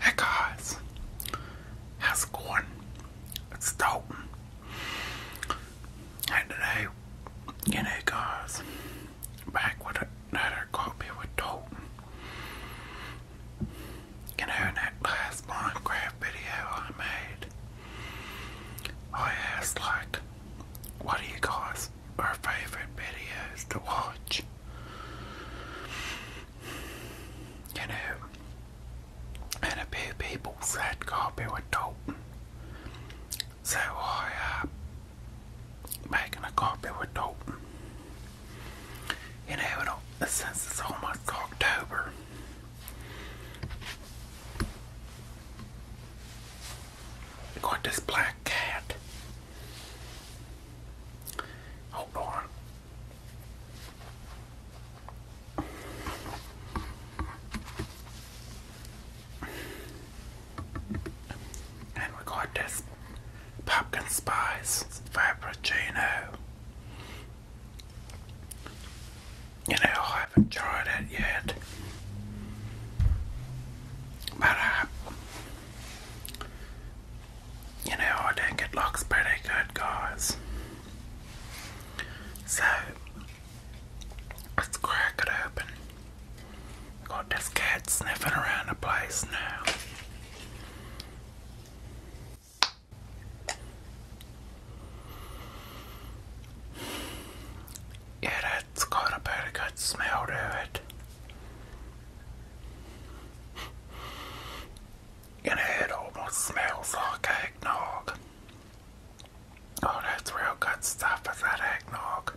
Hey guys, how's it going? It's Dalton. And today, you know guys, back with another copy with Dalton. You know in that last Minecraft video I made, oh, I asked like, what do you guys, our favorite videos to watch? You know, and a few people said coffee with Dalton. So I, am uh, making a coffee with Dalton. You know, it, since it's almost October, got this black cat Hold on. And we got this pumpkin spice frappuccino. You know, I haven't tried it yet, but uh, you know, I think it looks pretty good, guys. So, let's crack it open. Got this cat sniffing around the place now. Yeah, that's got a pretty good smell to it. And it almost smells like eggnog. Oh, that's real good stuff, is that eggnog?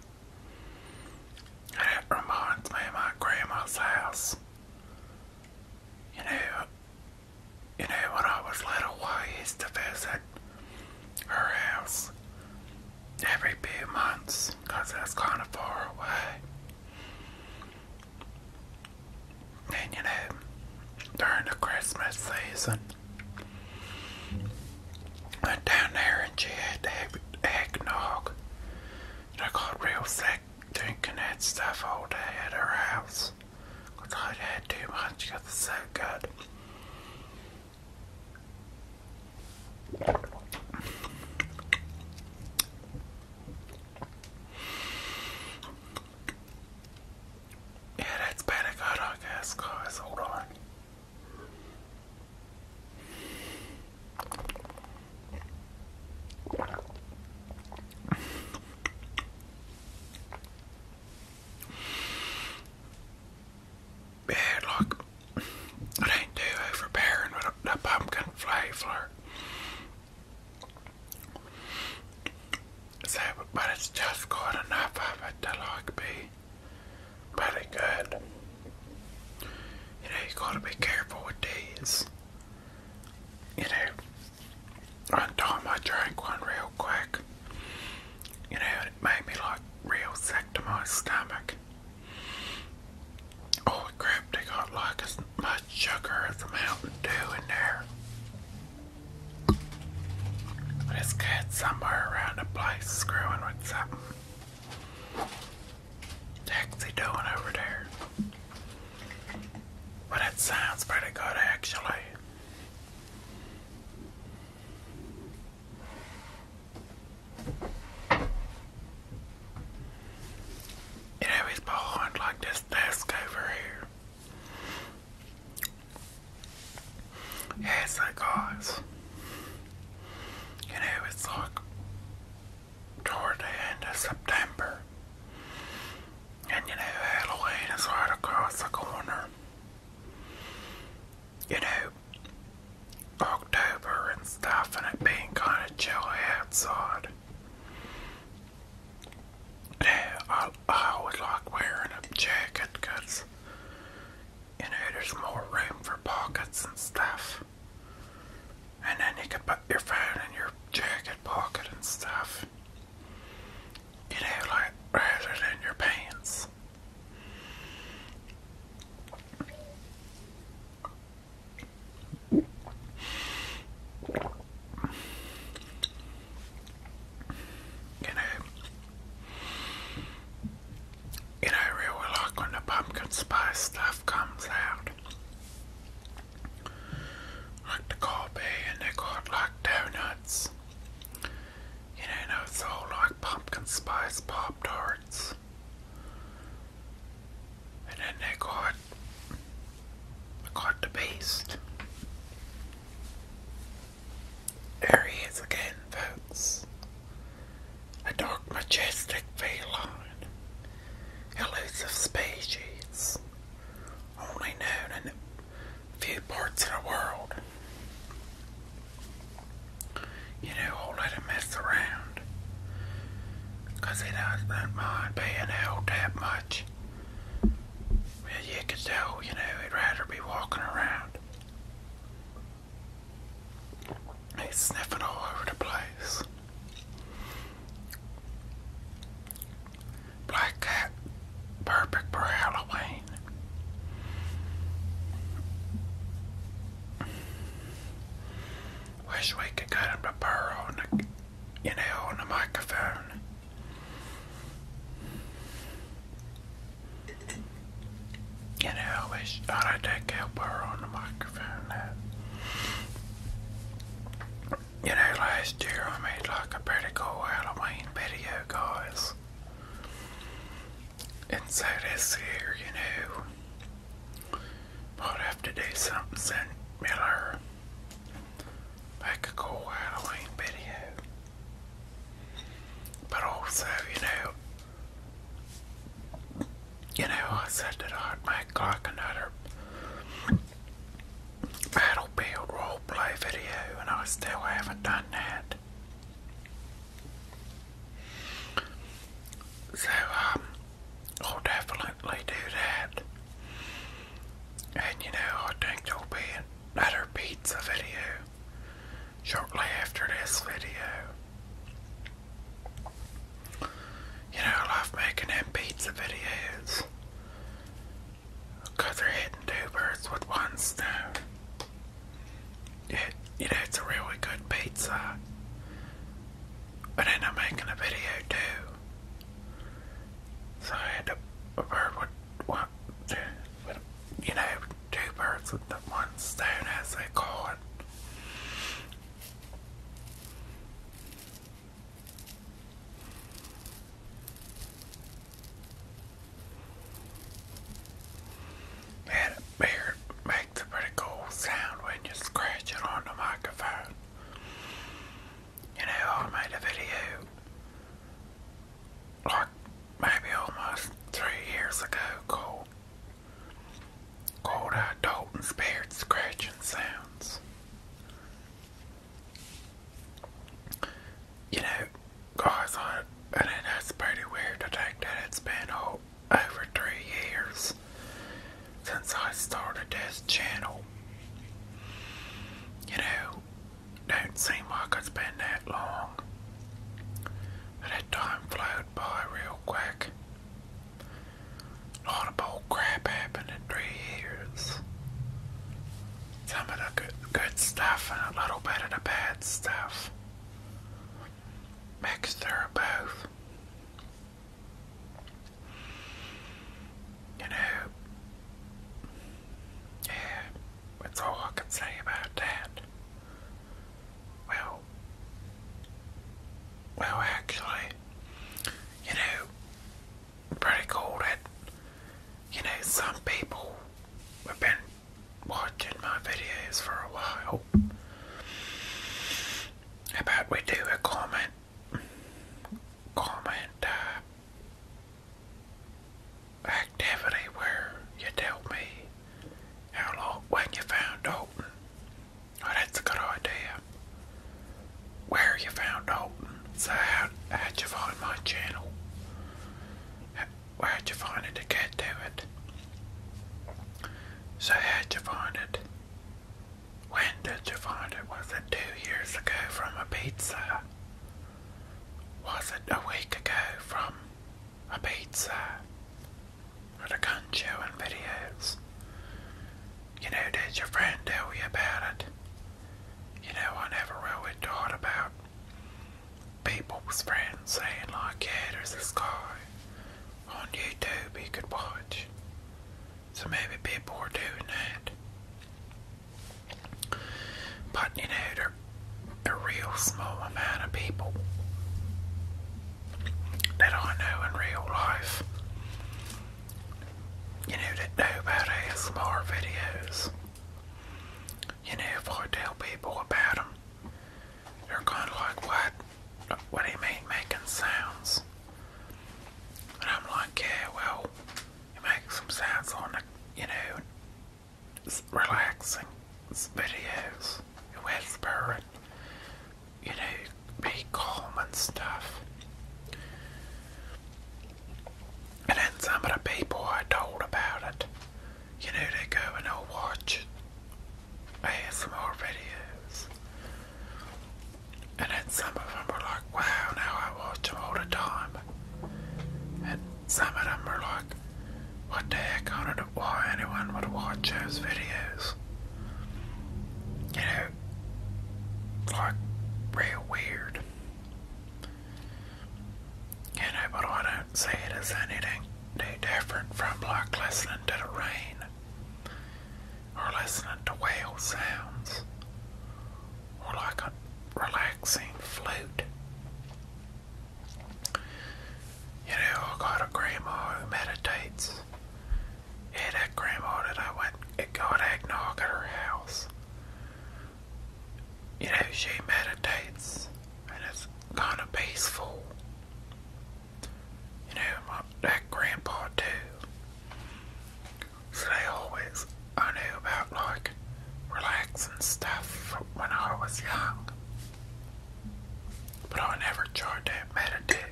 And it reminds me of my grandma's house. You know, you know, when I was little, I used to visit her house every few months because that's kind of far away you know, during the Christmas season, went down there and she eggnog. I got real sick drinking that stuff all day at her house. Because i had too much because it's so good. Yeah, that's better good, I guess, guys. Hold on. Yeah, look it ain't too overbearing with the pumpkin flavor. So, but it's just good enough of it to like be pretty good. You know, you gotta be careful with these. You know, one time I drank one real quick. You know, it made me like real sick to my stomach like, oh crap, they got like as much sugar as a Mountain Dew in there. This kid somewhere around the place screwing with something. Taxi doing over there. But it sounds pretty good actually. You know, it's behind like this desk over here. Yeah, so guys, you know, it's like toward the end of September. And you know, Halloween is right across the corner. You know, October and stuff, and it being kind of chilly outside. Yeah, I, I always like wearing a jacket because, you know, there's more room for pockets and stuff. And then you can put your phone in your jacket pocket and stuff. You know, like rather than your pants. You know, you know, I like when the pumpkin spice stuff comes out. Like the coffee and they got like donuts. You know, and it's like pumpkin spice pop tarts. And then they caught, caught the beast. There he is again, folks. A dark, majestic feline, elusive species, only known in few parts of the world you know, I'll let him mess around. Because he doesn't mind being held that much. Well, you could tell, you know, he'd rather be walking around. He's sniffing all over the place. Black cat, perfect for Halloween. Wish we could get him to purr on the, you know, on the microphone. You know, we ought to take he'll purr on the microphone You know, last year I made like a pretty cool Halloween video, guys. And so this year, you know, but after do something sent Miller make a cool Halloween video. But also, you know you know I said that I'd make like another Battlefield roleplay video and I still haven't done that. So, um, I'll definitely do that. And you know, I think there'll be another pizza video shortly after this video. You know, I love making them pizza videos. Because they're hitting two birds with one stone. It, it's a really good pizza but then I'm making a video too. So I had two birds with one stone as they call it. Had beard makes a pretty cool sound when you scratch it on the microphone. You know, I made a video like maybe almost three years ago called called uh, Dalton's Beard Scratching Sounds. You know, guys, I, I know pretty weird to think that it's been a over three years since I started this channel. You know, don't seem like it's been that long. But time flowed by real quick. A lot of bull crap happened in three years. Some of the good, stuff and a little bit of the bad stuff. Mixture of both. You know, yeah, that's all I can say about that. Well, well, actually, you know, pretty cool that, you know, some people have been watching my videos for a while. How about we do a comment? Comment uh, activity where you tell me how long when you found Dalton. Oh, that's a good idea. Where you found Dalton. So, how, how'd you find my channel? where'd you find it to get to it? So how'd you find it? When did you find it? Was it two years ago from a pizza? Was it a week ago from a pizza? Or the gun show and videos? You know, did your friend tell you about it? You know, I never really thought about people with friends saying like, yeah, there's this guy on YouTube you could watch. So maybe people are doing that. But you know, they a real small amount of people that I know in real life. You know, that know about ASMR videos. You know, if I tell people about them, you're going like, what? What do you mean making sounds? And I'm like, yeah, well, you make some sounds on you know, relaxing videos. You whisper and, you know, be calm and stuff. And then some of the people I told about it, you know, they go and they watch I had some more videos. And then some of them were like, wow, now I watch them all the time. And some of them were like, what the heck, I don't know why anyone would watch those videos. You know, like, real weird. You know, but I don't see it as anything no different from like listening to the rain or listening to whale sounds or like a relaxing flute. You know, I got a grandma who meditates. Yeah, that grandma that I went and got eggnog at her house. You know, she meditates and it's kind of peaceful you know, my, that grandpa too. So they always, I knew about like relaxing stuff when I was young. But I never tried to meditate.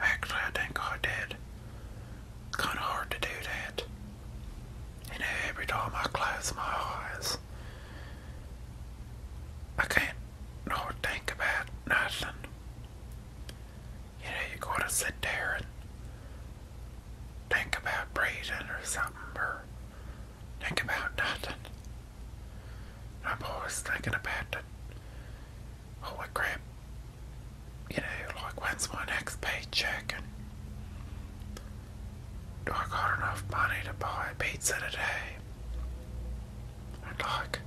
Actually, I think I did. kind of hard to do that. You know, every time I close my eyes, I can't no think about nothing. You know, you gotta sit there and think about breathing or something, or think about nothing. I'm always thinking about Oh, Holy crap. You know, like when's my next paycheck and do I got enough money to buy pizza today? And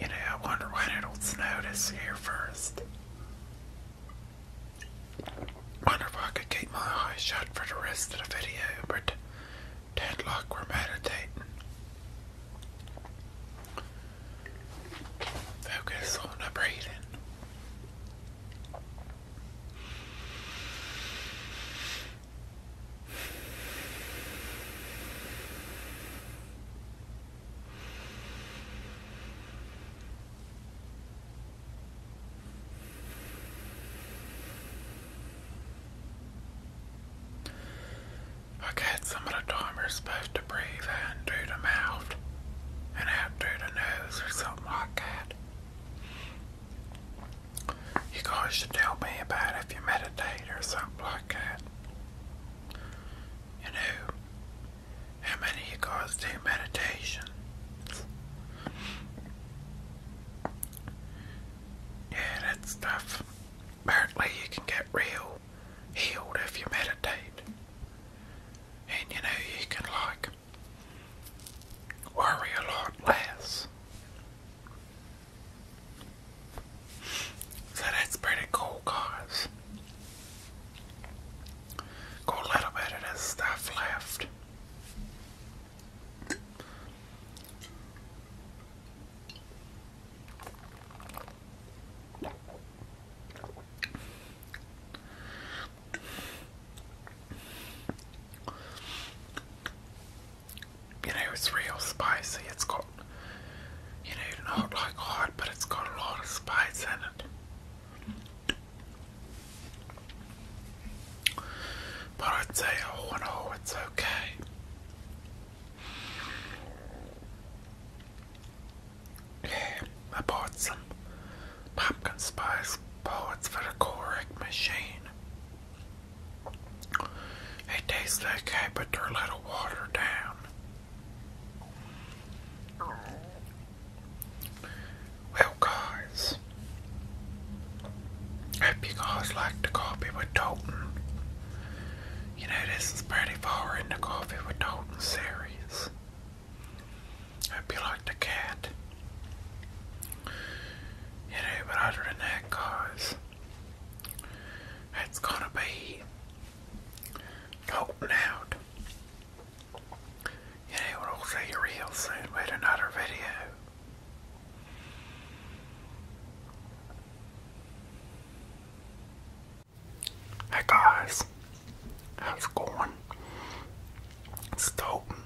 you know, I wonder when it'll snow this year first. Wonder if I could keep my eyes shut for the rest of the video, but dead luck, we're meditating. Focus on the breathing. Okay, some of the time we're supposed to breathe in through the mouth and out through the nose or something like that. You guys should tell me about if you meditate or something like that. You know, how many of you guys do meditation? Yeah, that stuff. Apparently, you can get real healed if you meditate. And you know, you can like worry a lot less. So that's pretty cool, guys. Got a little bit of stuff left. You know, it's real spicy. It's got, you know, not like hot, but it's got a lot of spice in it. But I'd say, oh and it's okay. Yeah, I bought some pumpkin spice bullets for the Correct machine. It tastes okay, but they're a little watered down. Well, guys, hope you guys like the coffee with Dalton. You know, this is pretty far in the coffee with Dalton series. Hope you like the cat. You know, but other than that, guys, that's gonna be talking out. You know, we'll see you real soon with another video. Hey guys, how's it going? It's Dalton.